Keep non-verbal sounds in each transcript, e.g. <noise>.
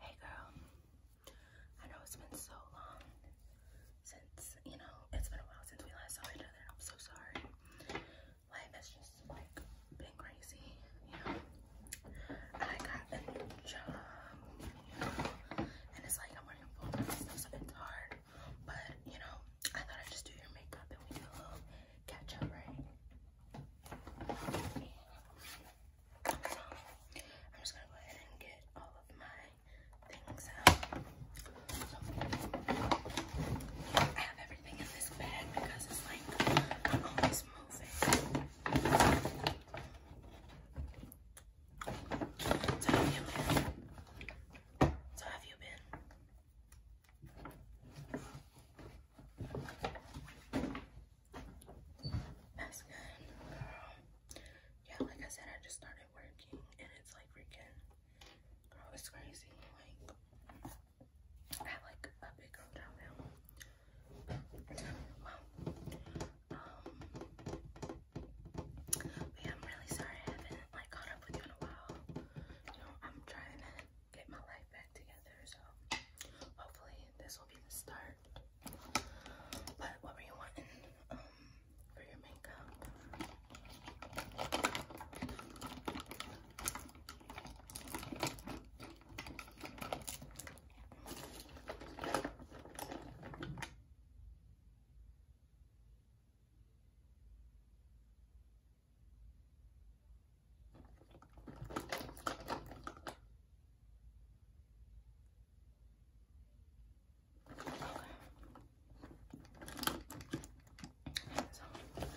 Hey girl, I know it's been so long since, you know, it's been a while since we last saw each other. I'm so sorry. Life has just been crazy, you know. I got a new job, and it's like I'm working full time stuff, so it's hard. But, you know, I thought I'd just do your makeup and we do a little catch up, right? So I'm just gonna go ahead and get all of my things out. So I have everything in this bag because it's like always moving. So have you been? So have you been? That's good. Girl. Yeah, like I said, I just started working and it's like freaking, girl, it's crazy. Like, I like a big girl down Well, um, but I'm really sorry I haven't like caught up with you in a while. You know, I'm trying get my life back together. So hopefully this will be the start. But what were you wanting um, for your makeup? So, as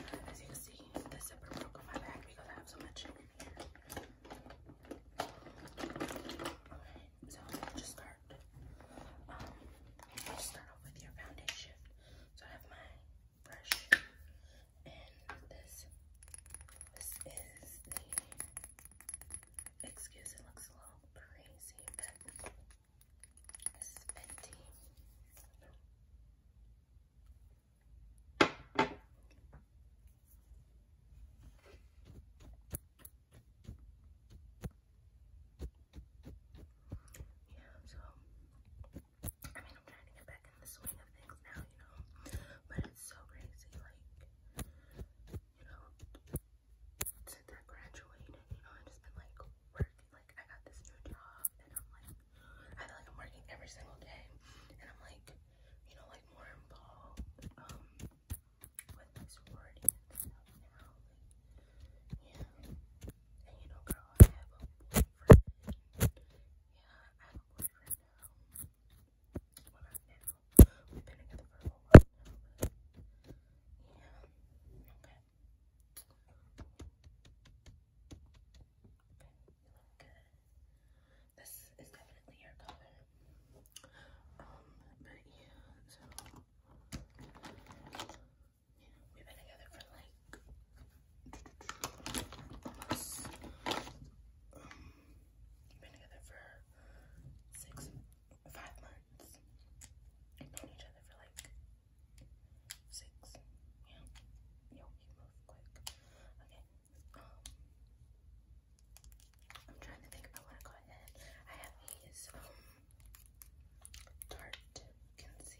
you can see, the zipper broke on my back because I have so much in here. so just start. Um, start off with your foundation. So I have my brush. And this, this is the, excuse it looks a little crazy, but this is Yeah, so I mean, I'm trying to get back in the swing of things now, you know, but it's so crazy, like, you know, since I graduated, you know, I've just been, like, working, like, I got this new job, and I'm, like, I feel like I'm working every single day, and I'm, like, you know, like, more involved, um, with my sorority and stuff now, like, yeah, and you know, girl, I have a boyfriend. Yeah, I have a boyfriend now. Well, not now. We've been together for a while now. yeah, good. This is definitely your color. Um, but yeah, We've been together for like almost um been together for six five months. We've known each other for like six. Yeah. Yo, you move quick. Okay. Um I'm trying to think if I want to go ahead. I have these um Tarte concealer.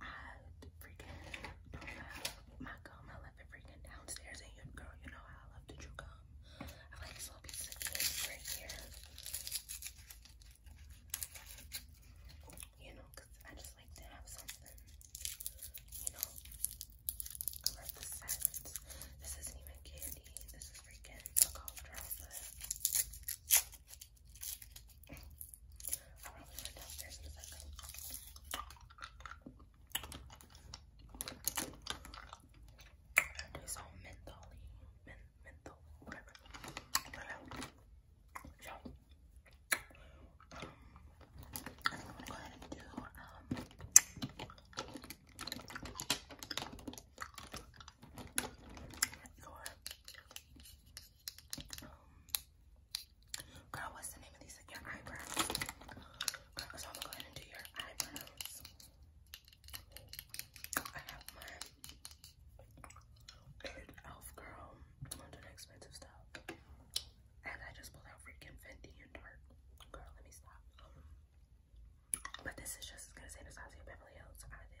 I freaking don't have my gum. I left it freaking downstairs. And you, girl, you know I love to chew gum. I like this little piece right here. You know, I just like to have something. You know, I love the silence. This isn't even candy. This is freaking a cough I'll probably run downstairs in a second. I do some menthol men menthol, whatever. But, um, so, um, I'm gonna do, um, your um, girl, what's the name of these? your eyebrows. Girl, so I'm go ahead and do your eyebrows. I have my elf girl. I'm going expensive stuff. And I just pulled out freaking Fendi and Tarte. Girl, let me stop. but this is just as good as Anastasia Beverly Hills, I think.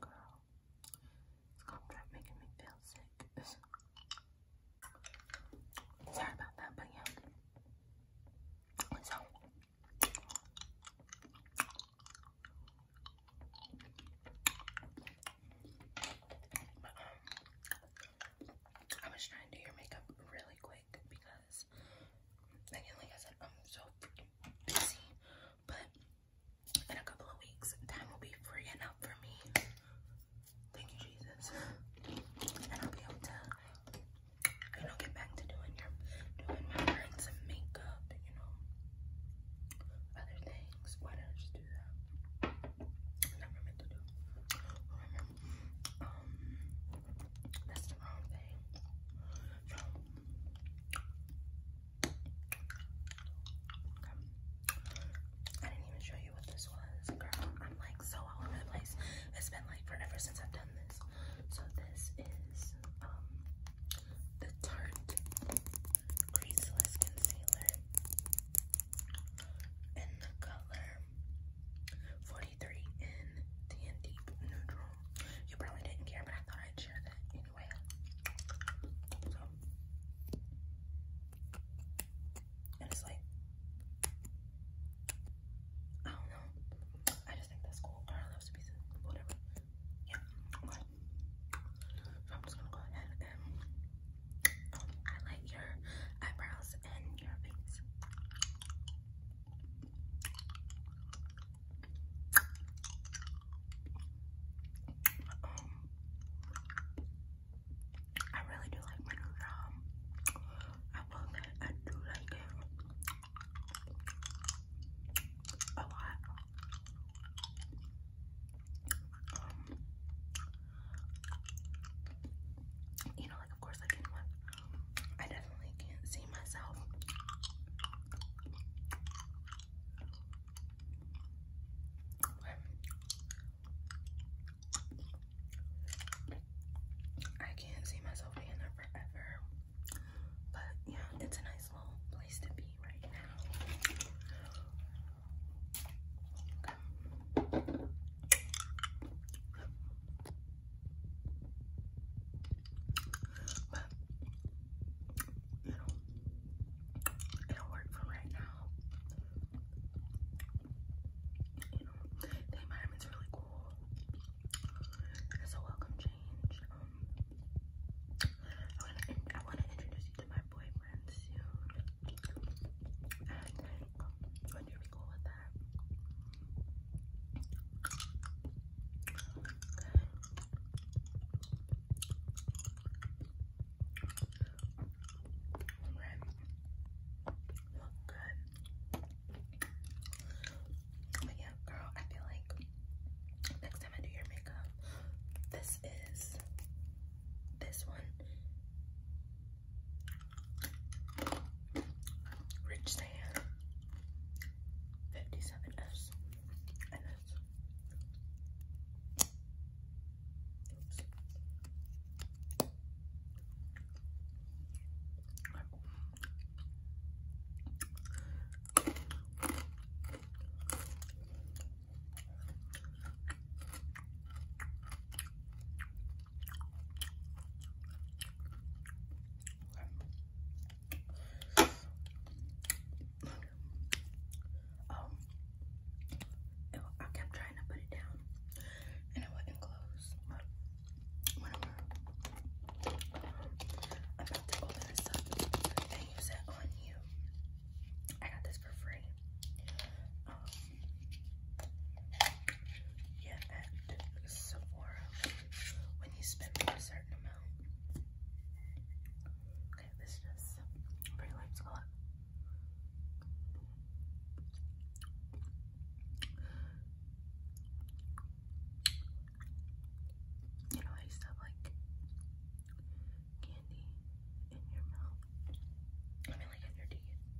Girl, this contract making me feel sick. <laughs> Sorry about that, but yeah. I was trying to do your makeup really quick because, like I said, I'm so freaking busy, but in a couple of weeks, time will be free enough for me. Thank you, Jesus. I'll be able to, you know, get back to doing your, doing my hair and some makeup, you know, other things. Why did I just do that? never meant to do. Remember, um, that's the wrong thing. I didn't even show you what this was, girl. I'm like so all over the place. It's been like forever since I've done this. So this is um the Tarte Greaseless Concealer in the color 43 in the Deep Neutral. You probably didn't care, but I thought I'd share that anyway. So, and it's like, I don't know. I just think that's cool. Carl loves pizza, whatever. Yeah, okay. I'm just gonna go ahead and um, highlight your eyebrows and your face. Um, I really do like my new job. I love it. I do like it a lot. Um, you know, of course I can one. I definitely can't see myself. I can't see myself being there forever. But yeah, it's a nice little place to be right now. But you know, it'll work for right now. You know, the environment's really cool. It's a welcome change. Um, I want to introduce you to my boyfriend soon. And then i you really cool with that. Okay. Right. Look good. But yeah, girl, I feel like next time I do your makeup, this is this one Rich Sand, 57S, and Okay. Um, I kept trying to put it down, and it wouldn't close. I'm about to open this up and use it on you. I got this for free um, yeah, at Sephora when you spend a certain amount. Okay, this is pretty lights color. You know, I used to have like candy in your mouth. I mean, like in your teeth.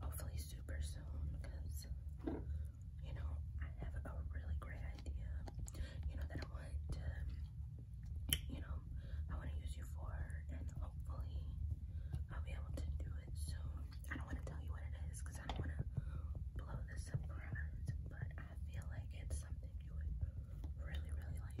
hopefully super soon because you know I have a really great idea you know that I want to you know I want to use you for and hopefully I'll be able to do it soon I don't want to tell you what it is because I don't want to blow the surprise but I feel like it's something you would really really like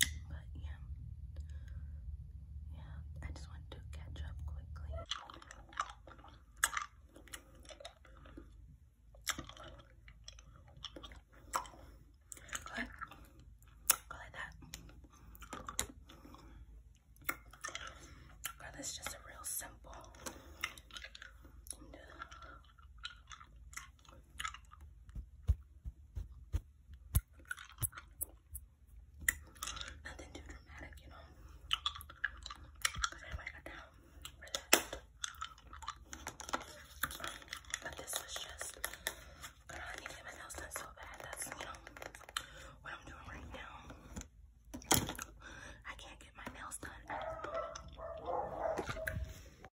But yeah, yeah, I just wanted to catch up quickly. Go like, that. that's just a real simple. Nothing too dramatic, you know. Cause everybody got down, But this was just, I need to get my nails done so bad. That's you know what I'm doing right now. I can't get my nails done